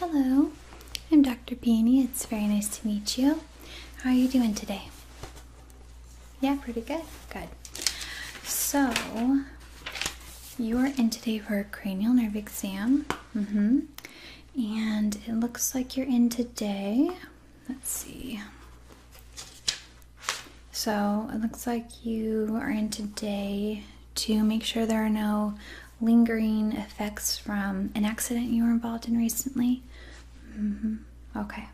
Hello, I'm Dr. Peony. It's very nice to meet you. How are you doing today? Yeah, pretty good. Good. So, you are in today for a cranial nerve exam. Mm-hmm. And it looks like you're in today. Let's see. So it looks like you are in today to make sure there are no lingering effects from an accident you were involved in recently. Mm-hmm. Okay.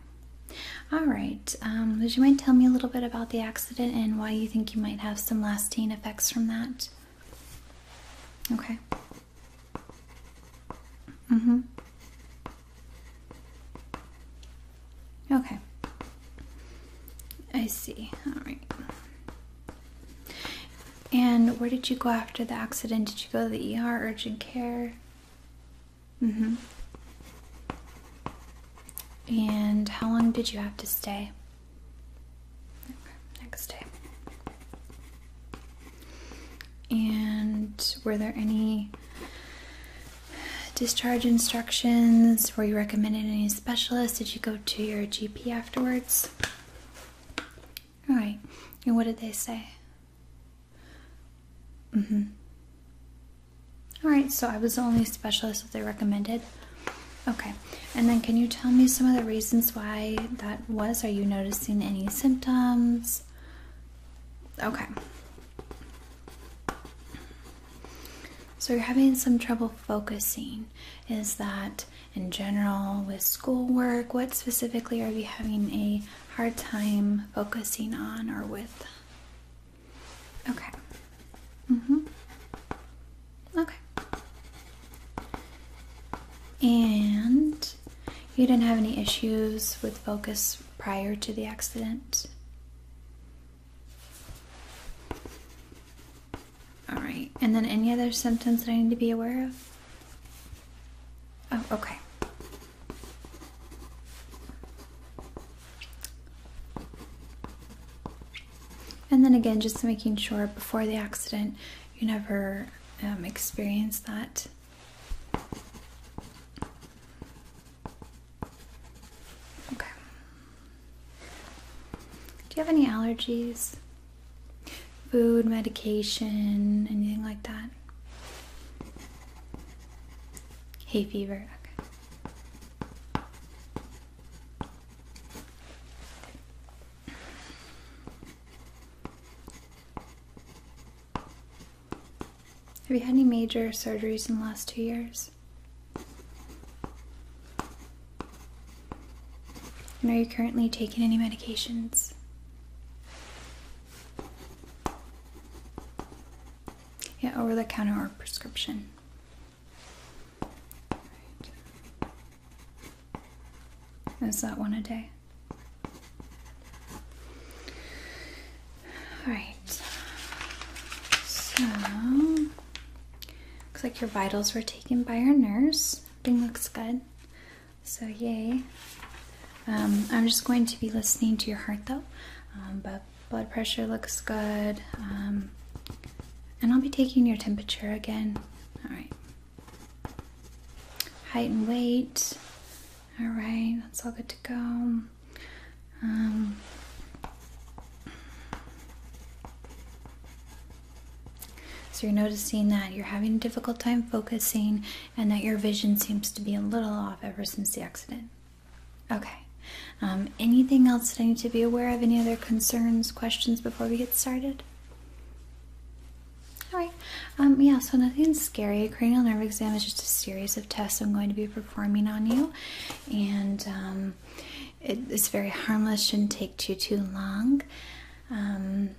All right. Um, would you mind telling me a little bit about the accident and why you think you might have some lasting effects from that? Okay. Mm hmm Okay. I see. All right. And where did you go after the accident? Did you go to the ER, urgent care? Mm hmm. And how long did you have to stay? next day. And were there any discharge instructions? Were you recommended any specialist? Did you go to your GP afterwards? All right. And what did they say? hmm. All right. So I was the only specialist that they recommended. Okay. And then can you tell me some of the reasons why that was? Are you noticing any symptoms? Okay. So, you're having some trouble focusing. Is that in general with schoolwork? What specifically are you having a hard time focusing on or with? Okay. hmm Okay. And you didn't have any issues with focus prior to the accident? All right. And then any other symptoms that I need to be aware of? Oh, okay. And then again, just making sure before the accident you never um, experienced that. Okay. Do you have any allergies? Food, medication, anything like that? Hay fever, Have you had any major surgeries in the last two years? And are you currently taking any medications? Yeah, over the counter or prescription. Is that one a day? All right. So Looks like your vitals were taken by your nurse. Thing looks good. So, yay. Um, I'm just going to be listening to your heart though, um, but blood pressure looks good. Um, and I'll be taking your temperature again. All right. Height and weight. All right, that's all good to go. So you're noticing that you're having a difficult time focusing and that your vision seems to be a little off ever since the accident. Okay. Um, anything else that I need to be aware of? Any other concerns, questions before we get started? Alright, um, yeah, so nothing scary. A cranial nerve exam is just a series of tests I'm going to be performing on you. And um, it's very harmless, shouldn't take too too long. Um,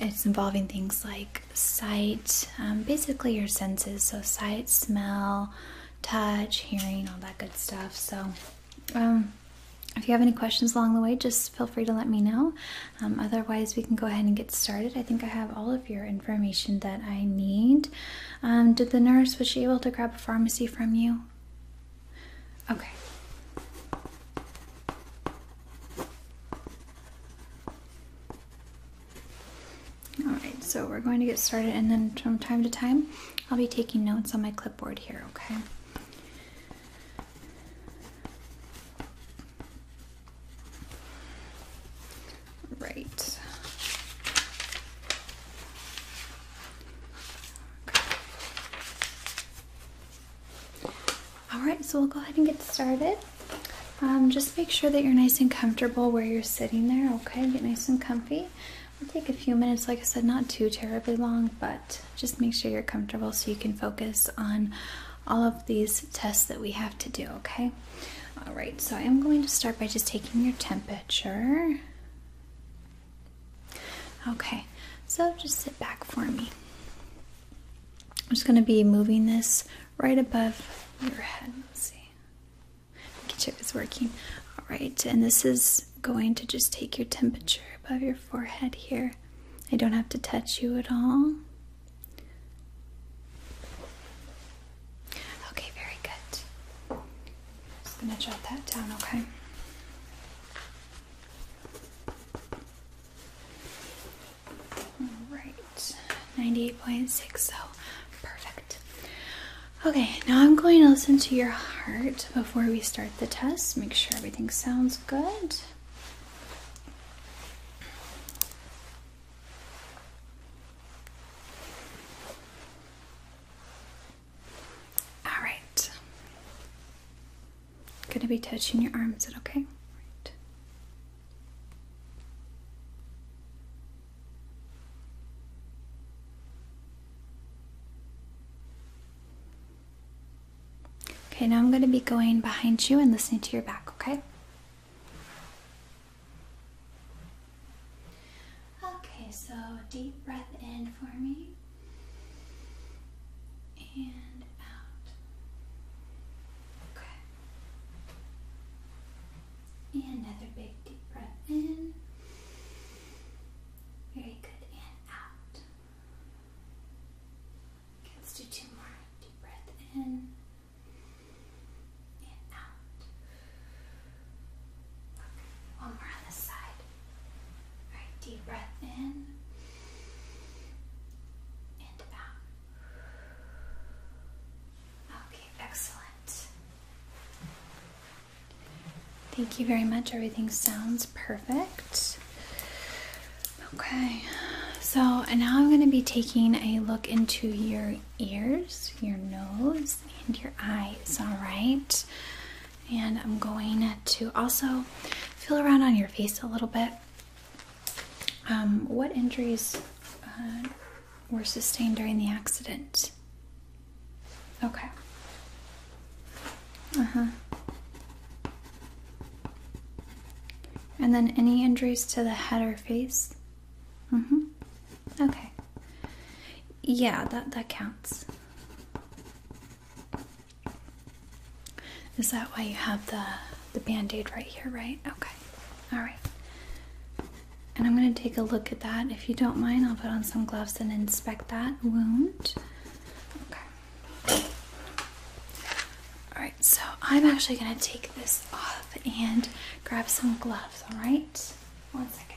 it's involving things like sight, um, basically your senses, so sight, smell, touch, hearing, all that good stuff. So, um, if you have any questions along the way, just feel free to let me know. otherwise, we can go ahead and get started. I think I have all of your information that I need. did the nurse was she able to grab a pharmacy from you? Okay. All right, so we're going to get started, and then from time to time, I'll be taking notes on my clipboard here, okay? Right. All right, so we'll go ahead and get started. Um, just make sure that you're nice and comfortable where you're sitting there, okay? Get nice and comfy. we will take a few minutes, like I said, not too terribly long, but just make sure you're comfortable so you can focus on all of these tests that we have to do, okay? All right, so I'm going to start by just taking your temperature. Okay, so just sit back for me. I'm just going to be moving this right above your head. Let's see. Make sure it's working. All right, and this is going to just take your temperature above your forehead here. I don't have to touch you at all. Okay, very good. Just gonna jot that down, okay? Alright, 98.6, so perfect. Okay, now I'm going to listen to your heart before we start the test. Make sure everything sounds good. All right. I'm gonna be touching your arm. Is it okay? Okay, now I'm going to be going behind you and listening to your back, okay? Okay, so deep breath in for me and out. Okay. And another big deep breath in. Very good. And out. let's do two more. Deep breath in and out. One more on this side. All right, deep breath in and out. Okay, excellent. Thank you very much. Everything sounds perfect. Okay, so and now I'm going to be taking a look into your ears, your nose, and your eyes. All right, and I'm going to also feel around on your face a little bit. Um, what injuries uh, were sustained during the accident? Okay. Uh huh. And then any injuries to the head or face? Mm hmm. Okay. Yeah, that, that counts. Is that why you have the the band-aid right here, right? Okay. All right. And I'm going to take a look at that. If you don't mind, I'll put on some gloves and inspect that wound. Okay. All right. So, I'm actually going to take this off and grab some gloves, all right? One second.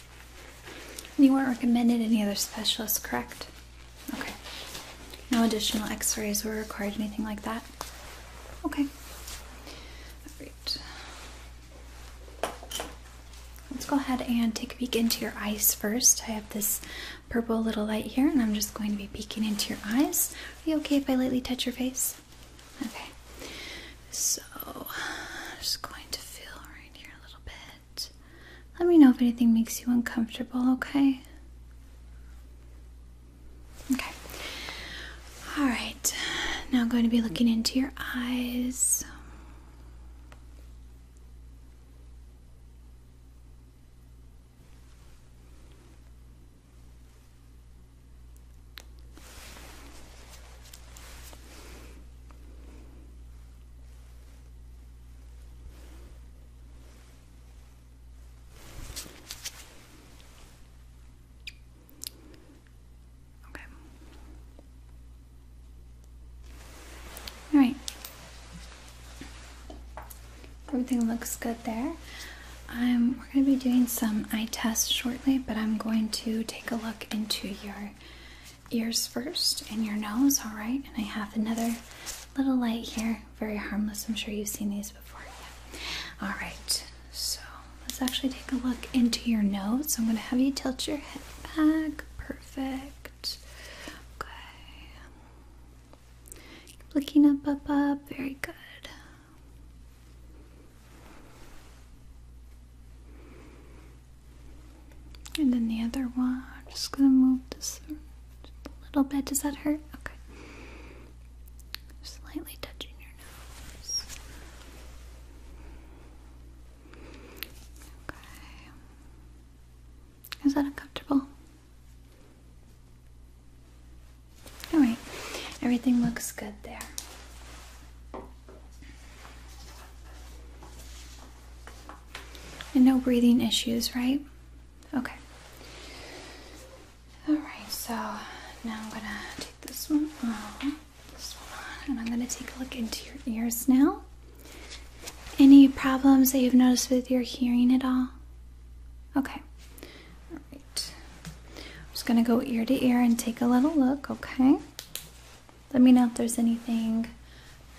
you weren't recommended any other specialists, correct? Okay. No additional x rays were required, anything like that? Okay. Alright. Let's go ahead and take a peek into your eyes first. I have this purple little light here, and I'm just going to be peeking into your eyes. Are you okay if I lightly touch your face? Okay. So, I'm just going to feel here a little bit. Let me know if anything makes you uncomfortable, okay? Okay. All right. Now I'm going to be looking into your eyes. Okay. All right. Everything looks good there. Um, we're going to be doing some eye tests shortly, but I'm going to take a look into your ears first and your nose, all right? And I have another little light here, very harmless. I'm sure you've seen these before. All right, so let's actually take a look into your nose. I'm going to have you tilt your head back. Perfect. Okay. Keep looking up, up, up. Very good. And then the other one. I'm just gonna move this a little bit. Does that hurt? Okay. Slightly touching your nose. Okay. Is that uncomfortable? Alright, everything looks good there. And no breathing issues, right? Okay. Alright, so now I'm gonna take this one off, this one and I'm gonna take a look into your ears now. Any problems that you've noticed with your hearing at all? Okay. Alright. I'm just gonna go ear to ear and take a little look, okay? let me know if there's anything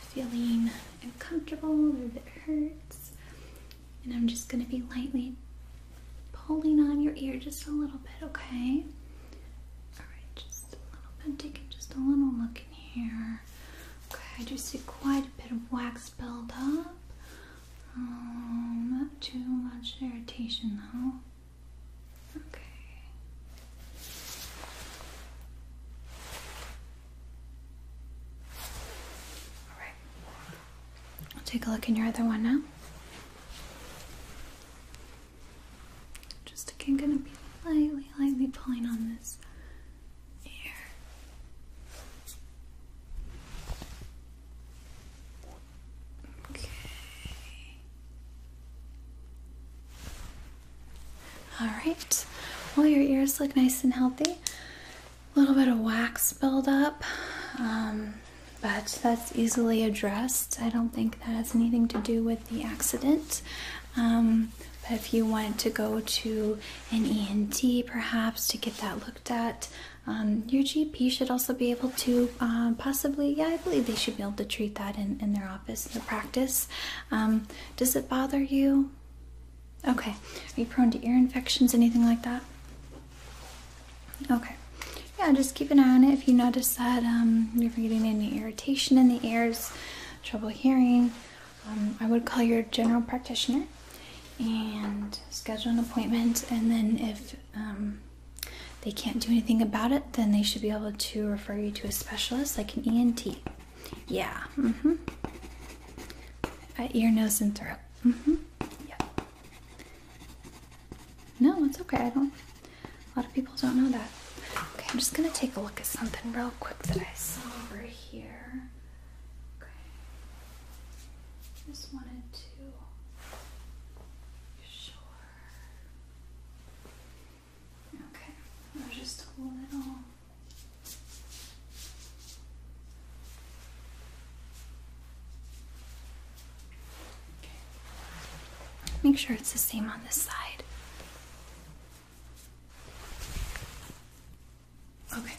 feeling uncomfortable or if it hurts. And I'm just going to be lightly pulling on your ear just a little bit, okay? Alright, just a little bit, taking just a little look in here. Okay, I do see quite a bit of wax build up. Um, not too much irritation though. Okay. All right. I'll take a look in your other one now. Just again, gonna be lightly, lightly pulling on this ear. Okay. All right. Well, your ears look nice and healthy. A little bit of wax buildup, um, but that's easily addressed. I don't think that has anything to do with the accident. Um, but if you wanted to go to an ENT perhaps to get that looked at, um, your GP should also be able to uh, possibly, yeah, I believe they should be able to treat that in, in their the practice um, does it bother you okay are you prone to ear infections anything like that okay yeah just keep an eye on it if you notice that um, you're getting any irritation in the ears trouble hearing um, i would call your general practitioner and schedule an appointment and then if they can't do anything about it then they should be able to refer you to a specialist like an ENT. Yeah. Mm-hmm. Uh, ear, nose, and throat. Mm-hmm. Yeah. No, it's okay. I don't. A lot of people don't know that. Okay, I'm just gonna take a look at something real quick that I saw over here. Okay. Just wanted to. Sure. Okay, I'll just hold it all. Make sure it's the same on this side. Okay.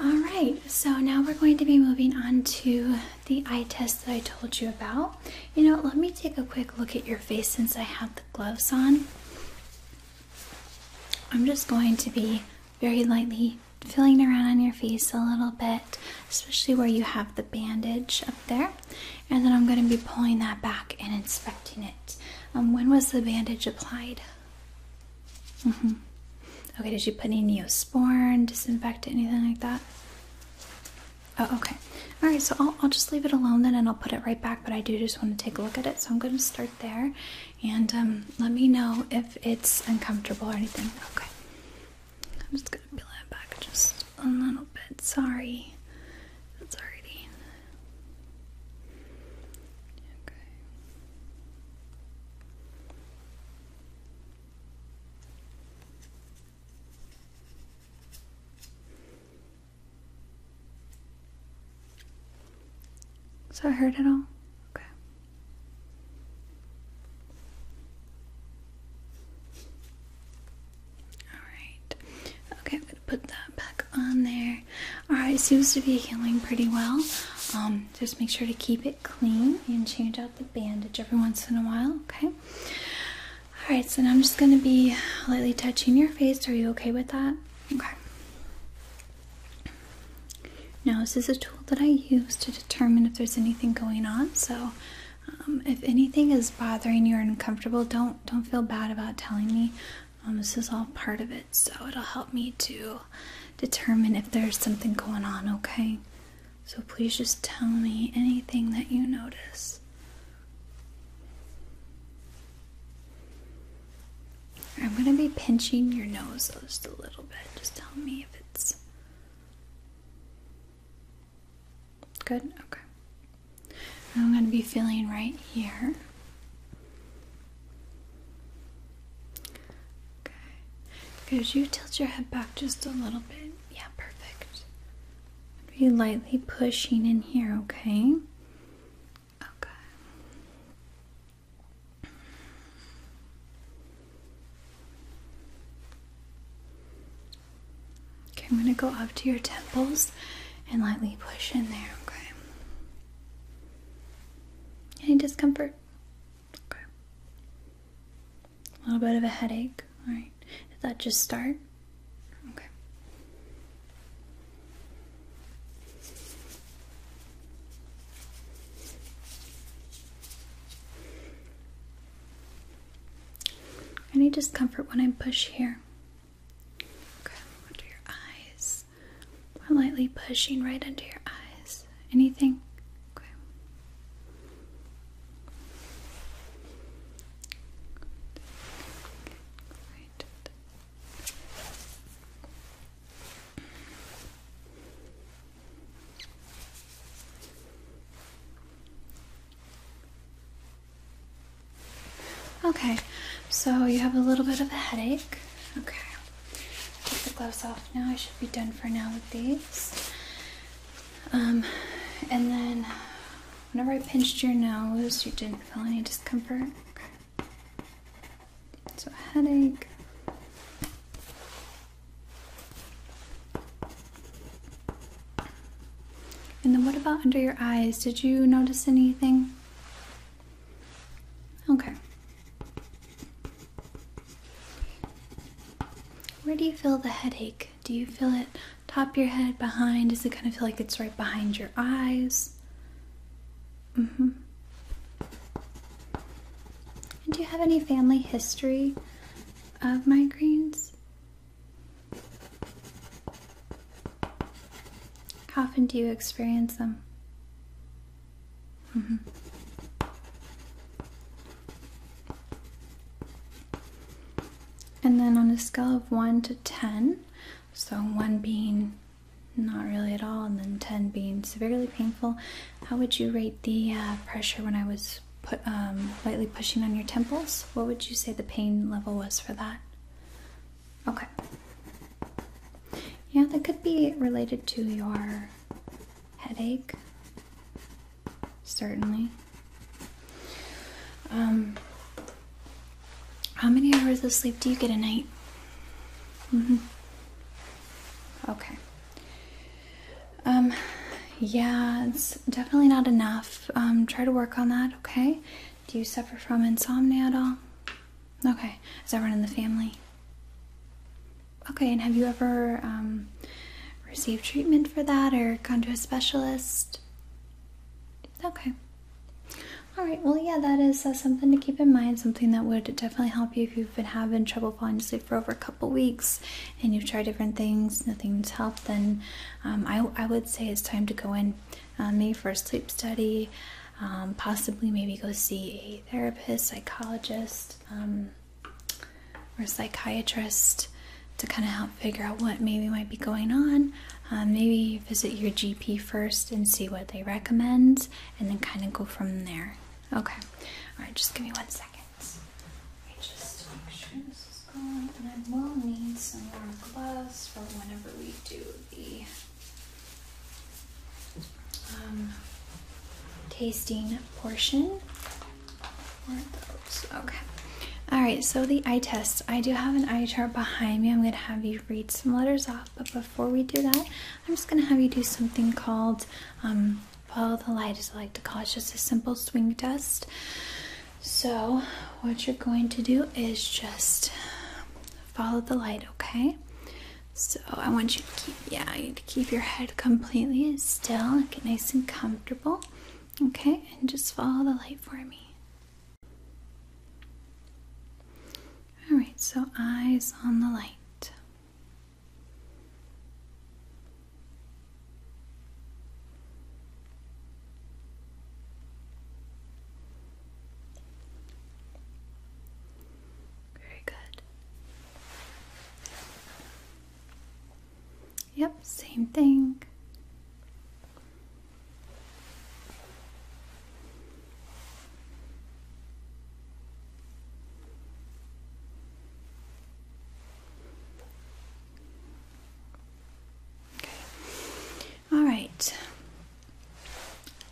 All right, so now we're going to be moving on to the eye test that I told you about. You know, let me take a quick look at your face since I have the gloves on. I'm just going to be very lightly filling around on your face a little bit, especially where you have the bandage up there. And then I'm going to be pulling that back and inspecting it. Um, when was the bandage applied? Mm-hmm. Okay, did you put any neosporin, disinfectant, anything like that? Oh, okay. All right, so I'll, I'll just leave it alone then and I'll put it right back, but I do just want to take a look at it, so I'm going to start there and um, let me know if it's uncomfortable or anything. Okay. I'm just going to peel it back just a little bit. Sorry. That's already. Okay. Does that hurt at all? Okay. Alright. Okay, I'm gonna put that back on there. Alright, seems to be healing pretty well. Um, just make sure to keep it clean and change out the bandage every once in a while, okay? All right, so now I'm just going to be lightly touching your face. Are you okay with that? Okay. Now, this is a tool that I use to determine if there's anything going on. So, um, if anything is bothering you or uncomfortable, don't don't feel bad about telling me. Um, this is all part of it, so it'll help me to determine if there's something going on. Okay. So please just tell me anything that you notice. I'm going to be pinching your nose just a little bit. Just tell me if it's good. Okay. I'm going to be feeling right here. Okay. Could you tilt your head back just a little bit? Yeah, perfect. Be lightly pushing in here, okay? Okay. Okay, I'm going to go up to your temples and lightly push in there, okay? Any discomfort? Okay. A little bit of a headache, alright? Did that just start? Any discomfort when I push here? under your eyes. I'm lightly pushing right under your eyes. Anything? Okay, so you have a little bit of a headache. Okay, take the gloves off now. I should be done for now with these. Um, and then Whenever I pinched your nose, you didn't feel any discomfort. So, headache. And then, what about under your eyes? Did you notice anything? Okay. Where do you feel the headache? Do you feel it top your head, behind? Does it kind of feel like it's right behind your eyes? hmm do you have any family history of migraines? How often do you experience them? -hmm. And then on a scale of 1 to 10, so 1 being not really at all, and then 10 being severely painful, how would you rate the uh, pressure when I was put, um, lightly pushing on your temples? What would you say the pain level was for that? Okay. Yeah, that could be related to your headache, certainly. Um, how many hours of sleep do you get a night? hmm Okay. Um, yeah, it's definitely not enough. Um, try to work on that, okay? Do you suffer from insomnia at all? Okay. Is that run in the family? Okay, and have you ever um, received treatment for that or gone to a specialist? Okay. All right. Well, yeah, that is uh, something to keep in mind. Something that would definitely help you if you've been having trouble falling asleep for over a couple weeks, and you've tried different things, nothing's helped. Then, um, I I would say it's time to go in, uh, maybe for a sleep study, um, possibly maybe go see a therapist, psychologist, or psychiatrist to kind of help figure out what maybe might be going on. Um, maybe visit your GP first and see what they recommend, and then kind of go from there. Okay. All right. Just give me one second. I just make sure this is going, and I will need some more gloves for whenever we do the um, tasting portion. Or those. Okay. All right, so the eye test. I do have an eye chart behind me. I'm going to have you read some letters off, but before we do that, I'm just going to have you do something called follow um, the light, as I like to call it. It's just a simple swing test. So, what you're going to do is just follow the light, okay? So, I want you to keep, yeah, you to keep your head completely still, get nice and comfortable, okay? And just follow the light for me. All right, so eyes on the light. Very good. Yep, same thing. Okay. All right.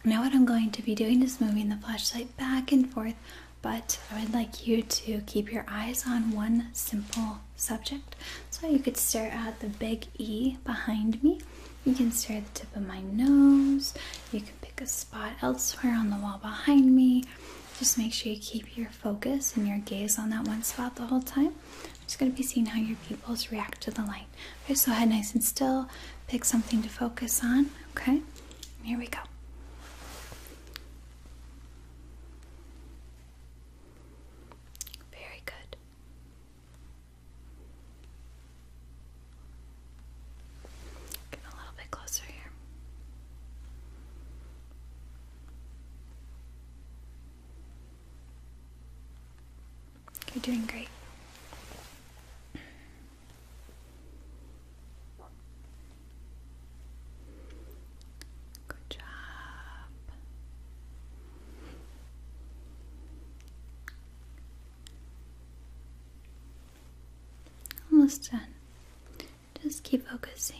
Now, what I'm going to be doing is moving the flashlight back and forth, but I would like you to keep your eyes on one simple subject. So you could stare at the big E behind me. You can stare at the tip of my nose. You can pick a spot elsewhere on the wall behind me. Just make sure you keep your focus and your gaze on that one spot the whole time. I'm just going to be seeing how your pupils react to the light. Okay, so head nice and still. Pick something to focus on. Okay, here we go. Very good. Get a little bit closer here. You're doing great. Good job. Almost done. Just keep focusing.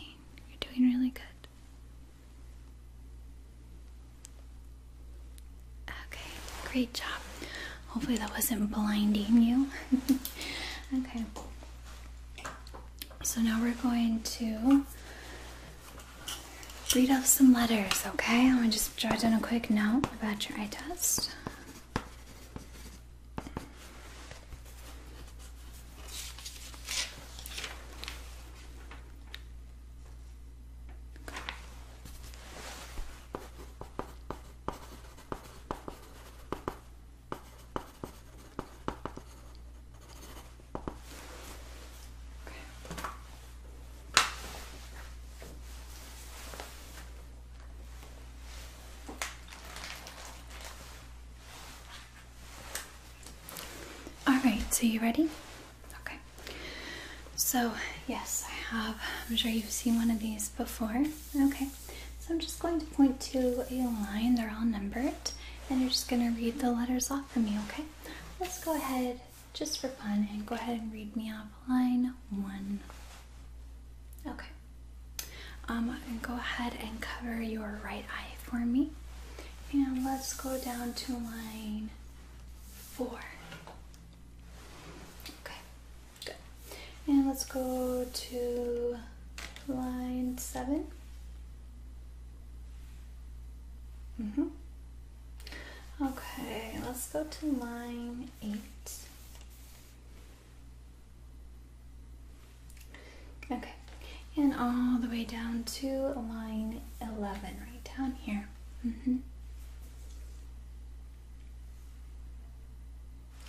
You're doing really good. Okay, great job. Hopefully, that wasn't blinding you. okay. So now we're going to read off some letters, okay? I'm gonna just jot down a quick note about your eye test. All right, so you ready? Okay. So, yes, I have. I'm sure you've seen one of these before. Okay. So, I'm just going to point to a line, they're all numbered, and you're just going to read the letters off for me, okay? Let's go ahead just for fun and go ahead and read me off line one. Okay. Um, and go ahead and cover your right eye for me. And let's go down to line four. Okay, good. And let's go to line seven. Mm-hmm. Okay, let's go to line eight. Okay, and all the way down to line 11, right down here. Mm-hmm.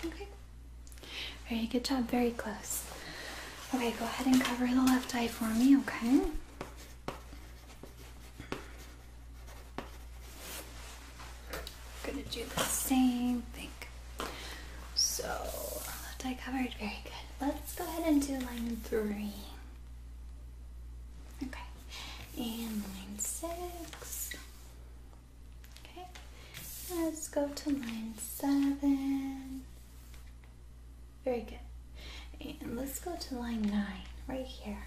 Okay, very good job, very close. Okay, go ahead and cover the left eye for me, okay? I'm gonna do the same thing. So left eye covered, very good. Let's go ahead and do line three. Okay, and line six. Okay, let's go to line seven. Very good. And let's go to line nine, right here.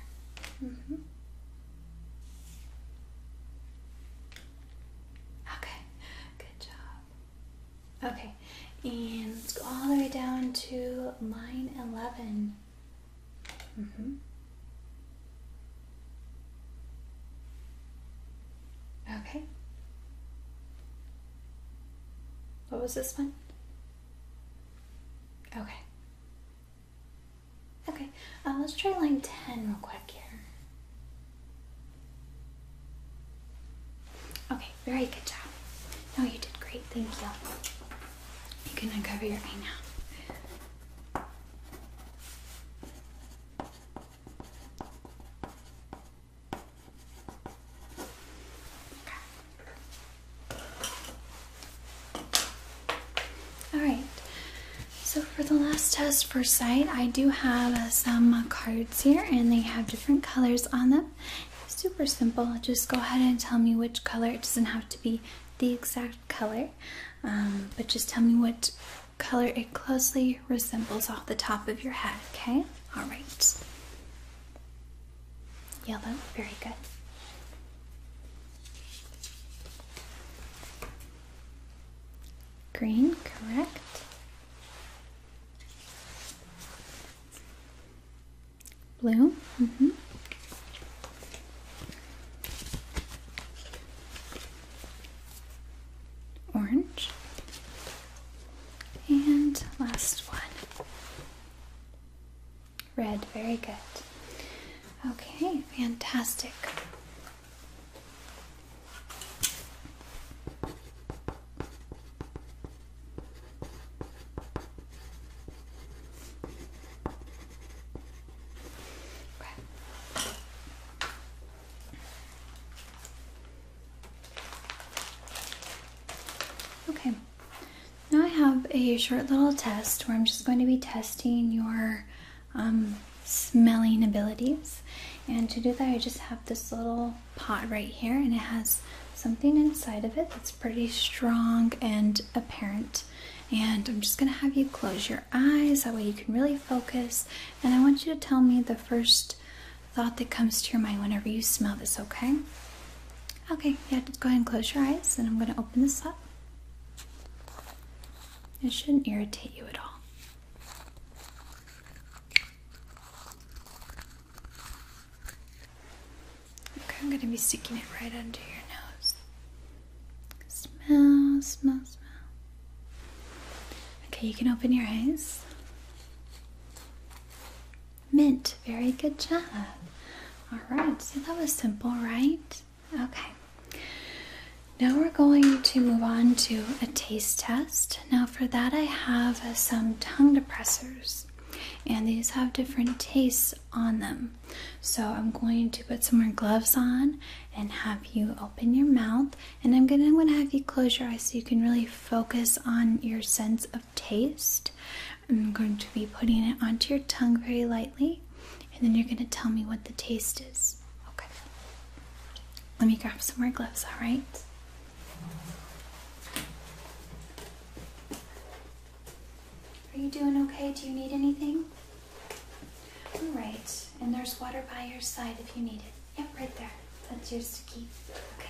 Mm-hmm. Okay, good job. Okay, and let's go all the way down to line 11. Mm-hmm. Okay. What was this one? Okay. Okay, uh, let's try line 10 real quick here. Okay, very good job. No, you did great. Thank you. You can uncover your eye now. All right. So for the last test for sight, I do have uh, some cards here, and they have different colors on them. Super simple. Just go ahead and tell me which color. It doesn't have to be the exact color, um, but just tell me what color it closely resembles off the top of your head. Okay. All right. Yellow, very good. Green, correct. Blue, mm hmm Orange. And last one. Red, very good. Okay, fantastic. Okay. Now I have a short little test where I'm just going to be testing your um, smelling abilities. And to do that, I just have this little pot right here, and it has something inside of it that's pretty strong and apparent. And I'm just gonna have you close your eyes, that way you can really focus. And I want you to tell me the first thought that comes to your mind whenever you smell this, okay? Okay, yeah, go ahead and close your eyes, and I'm going to open this up. It shouldn't irritate you at all. Okay, I'm going to be sticking it right under your nose. Smell, smell, smell. Okay, you can open your eyes. Mint. Very good job. All right, so that was simple, right? Okay. Now we're going to move on to a taste test. Now, for that, I have some tongue depressors, and these have different tastes on them. So, I'm going to put some more gloves on and have you open your mouth, and I'm going to have you close your eyes so you can really focus on your sense of taste. I'm going to be putting it onto your tongue very lightly, and then you're going to tell me what the taste is. Okay. Let me grab some more gloves, alright? Are you doing okay? Do you need anything? Alright, and there's water by your side if you need it. Yep, right there. That's yours to keep. Okay.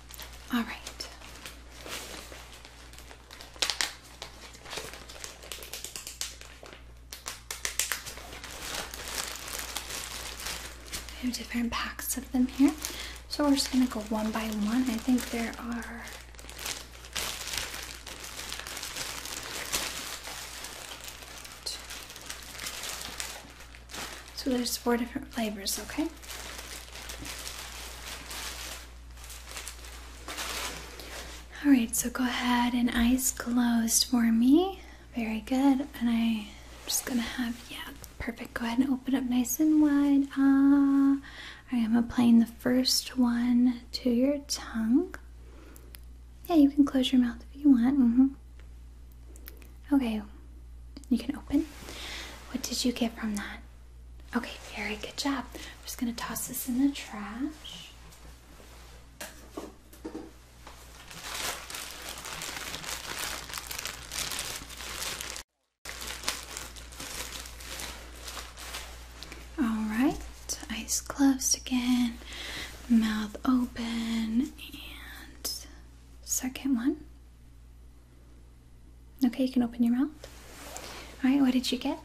All right. We have different packs of them here. So we're just going to go one by one. I think there are. So there's four different flavors, okay? All right, so go ahead and eyes closed for me. Very good. And I'm just gonna have, yeah, perfect. Go ahead and open up nice and wide. Ah, I am applying the first one to your tongue. Yeah, you can close your mouth if you want. -hmm. Okay, you can open. What did you get from that? Okay, very good job. I'm just going to toss this in the trash. All right, eyes closed again, mouth open, and second one. Okay, you can open your mouth. All right, what did you get?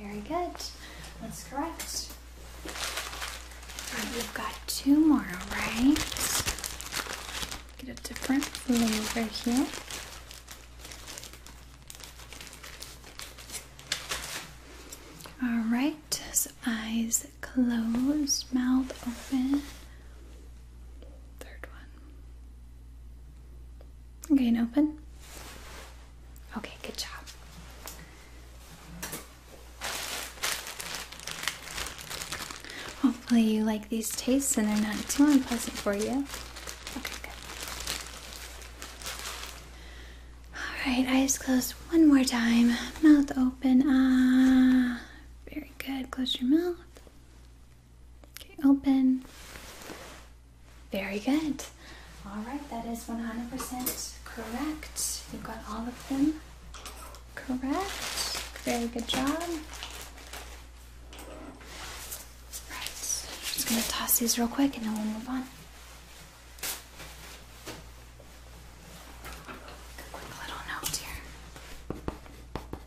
Very good. That's correct. Right, we've got two more, all right? Get a different flavor here. All right, so eyes closed, mouth open. Third one. Okay, and open. Okay, good job. Hopefully you like these tastes and they're not too unpleasant for you. Okay, good. Alright, eyes closed one more time. Mouth open. Ah, very good. Close your mouth. Okay, open. Very good. All right, that is 100% correct. You got all of them correct. Very good job. Right, just gonna toss these real quick and then we'll move on. A quick little note here.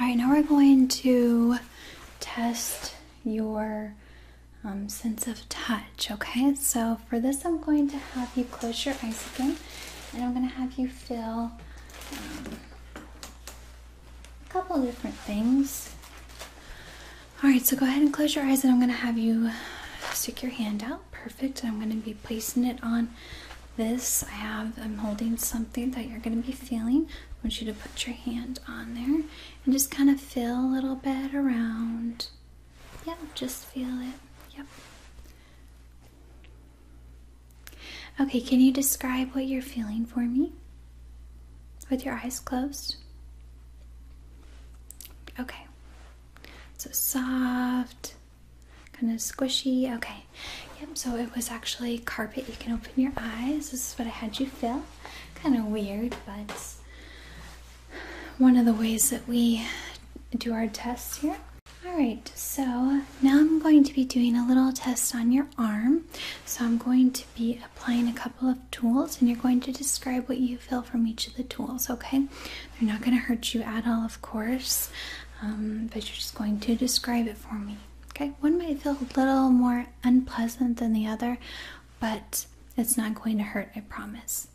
All right, now we're going to test your um, sense of touch, okay? So for this, I'm going to have you close your eyes again, and I'm going to have you feel um, a couple different things. All right, so go ahead and close your eyes, and I'm going to have you stick your hand out. Perfect. I'm going to be placing it on this I have I'm holding something that you're gonna be feeling. I want you to put your hand on there and just kind of feel a little bit around. Yep, just feel it. Yep. Okay, can you describe what you're feeling for me? With your eyes closed? Okay. So soft, kind of squishy. Okay. Yep, so it was actually carpet. You can open your eyes. This is what I had you fill. Kind of weird, but one of the ways that we do our tests here. Alright, so now I'm going to be doing a little test on your arm. So I'm going to be applying a couple of tools and you're going to describe what you feel from each of the tools, okay? They're not going to hurt you at all, of course, um, but you're just going to describe it for me. Okay, one might feel a little more unpleasant than the other, but it's not going to hurt, I promise.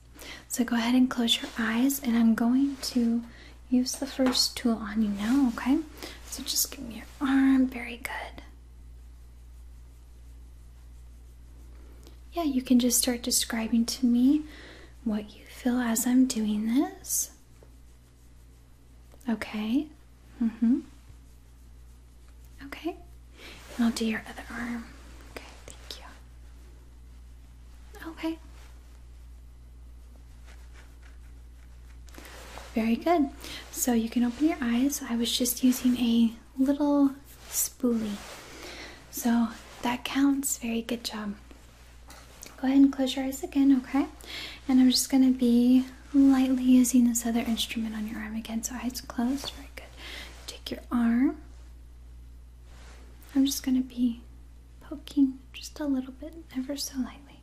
So go ahead and close your eyes, and I'm going to use the first tool on you now, okay? So just give me your arm. Very good. Yeah, you can just start describing to me what you feel as I'm doing this. Okay. Mm-hmm. Okay. And I'll do your other arm. Okay, thank you. Okay. Very good. So you can open your eyes. I was just using a little spoolie. So that counts. Very good job. Go ahead and close your eyes again, okay? And I'm just gonna be lightly using this other instrument on your arm again. So eyes closed, very good. Take your arm. I'm just gonna be poking just a little bit, ever so lightly.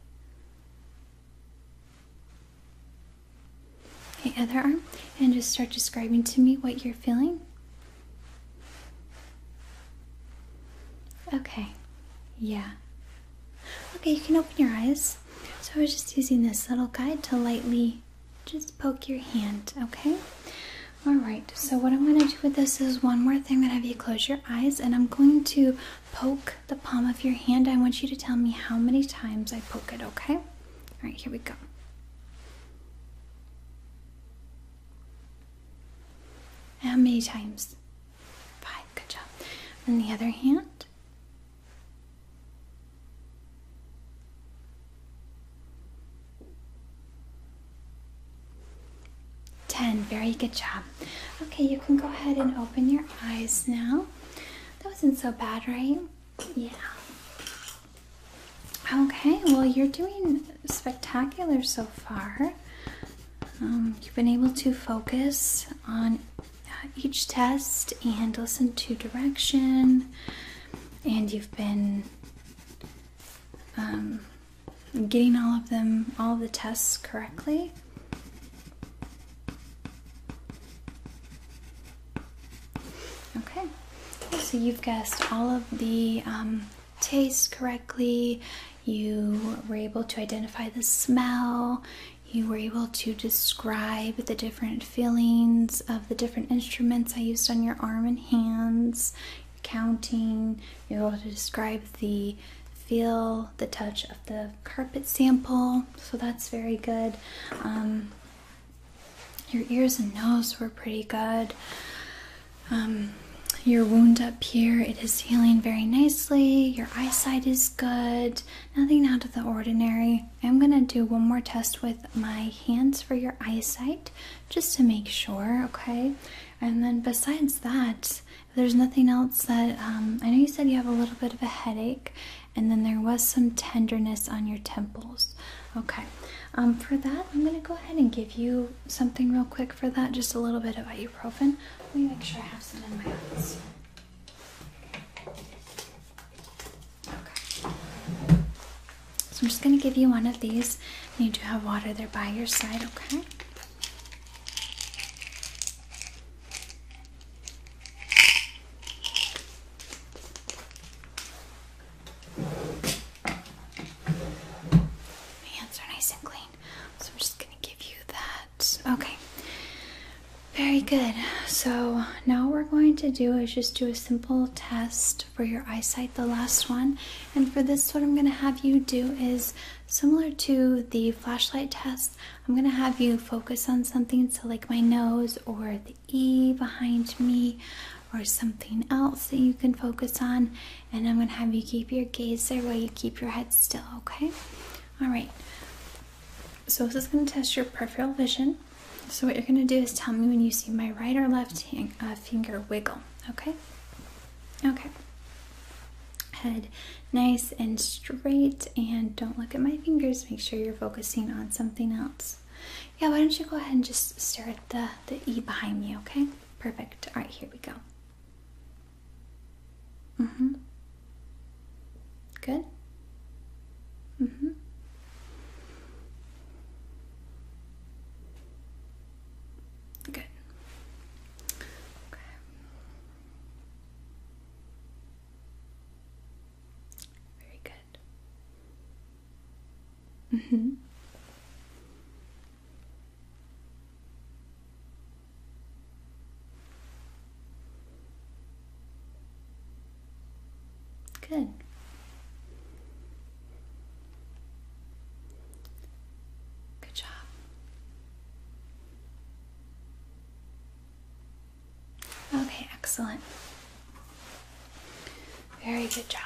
Okay, other arm, and just start describing to me what you're feeling. Okay, yeah, Okay, you can open your eyes. So I was just using this little guide to lightly just poke your hand, okay? Alright, so what I'm going to do with this is one more thing that have you close your eyes and I'm going to poke the palm of your hand. I want you to tell me how many times I poke it, okay? Alright, here we go. How many times? Five, good job. And the other hand. Ten, very good job. Okay, you can go ahead and open your eyes now. That wasn't so bad, right? Yeah. Okay, well, you're doing spectacular so far. Um, you've been able to focus on uh, each test and listen to direction, and you've been um, getting all of them, all of the tests correctly. Okay, so you've guessed all of the um, taste correctly. You were able to identify the smell you were able to describe the different feelings of the different instruments I used on your arm and hands, counting, you were able to describe the feel, the touch of the carpet sample, so that's very good. Um, your ears and nose were pretty good. Um, your wound up here, it is healing very nicely eyesight is good, nothing out of the ordinary. I'm gonna do one more test with my hands for your eyesight just to make sure, okay? And then, besides that, there's nothing else that um, I know you said you have a little bit of a headache, and then there was some tenderness on your temples, okay? Um, for that, I'm gonna go ahead and give you something real quick for that, just a little bit of ibuprofen. Let me make sure I have some in my office. So I'm just going to give you one of these. You do have water there by your side, okay? My hands are nice and clean, so I'm just going to give you that Okay. Very good. So now we're going to do is just do a simple test for your eyesight, the last one. And for this, what I'm going to have you do is similar to the flashlight test, I'm going to have you focus on something, so like my nose or the E behind me or something else that you can focus on. And I'm going to have you keep your gaze there while you keep your head still, okay? All right. So this is going to test your peripheral vision. So what you're going to do is tell me when you see my right or left uh, finger wiggle. Okay. Okay. Head nice and straight, and don't look at my fingers. Make sure you're focusing on something else. Yeah, why don't you go ahead and just stare at the the E behind me, okay? Perfect. All right, here we go. Mm-hmm. Good? Mm-hmm. Good. Okay. Very good. Mm-hmm. Good. Good job. Okay, excellent. Very good job.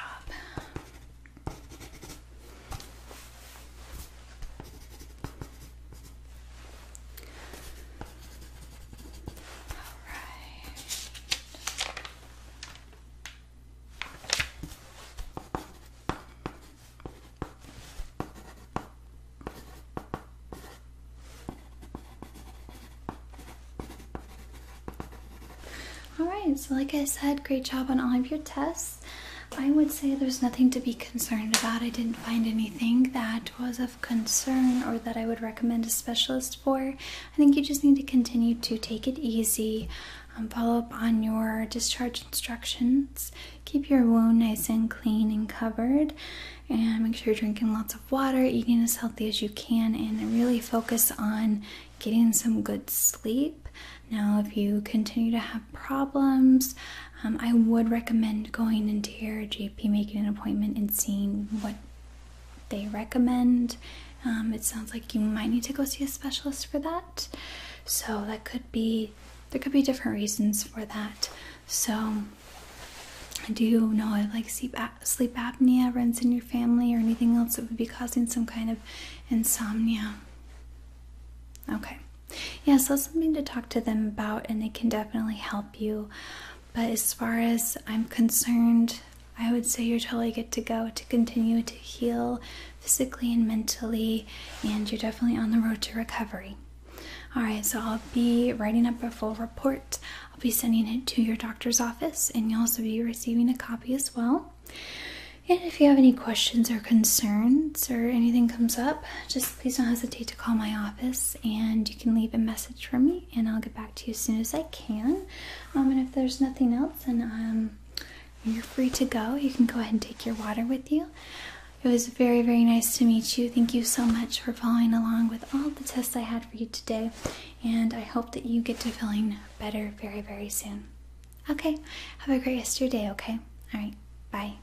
All right, so like I said, great job on all of your tests. I would say there's nothing to be concerned about. I didn't find anything that was of concern or that I would recommend a specialist for. I think you just need to continue to take it easy, um, follow up on your discharge instructions, keep your wound nice and clean and covered, and make sure you're drinking lots of water, eating as healthy as you can, and really focus on getting some good sleep. Now, if you continue to have problems, um, I would recommend going into your GP, making an appointment, and seeing what they recommend. Um, it sounds like you might need to go see a specialist for that. So that could be there could be different reasons for that. So I do know like sleep sleep apnea runs in your family or anything else that would be causing some kind of insomnia. Okay. Yeah, that's something to talk to them about, and they can definitely help you. But as far as I'm concerned, I would say you're totally good to go to continue to heal physically and mentally, and you're definitely on the road to recovery. All right, so I'll be writing up a full report. I'll be sending it to your doctor's office, and you'll also be receiving a copy as well. And if you have any questions or concerns or anything comes up, just please don't hesitate to call my office and you can leave a message for me and I'll get back to you as soon as I can. Um, and if there's nothing else and um, you're free to go, you can go ahead and take your water with you. It was very, very nice to meet you. Thank you so much for following along with all the tests I had for you today. And I hope that you get to feeling better very, very soon. Okay, have a great rest of your day, okay? All right, bye.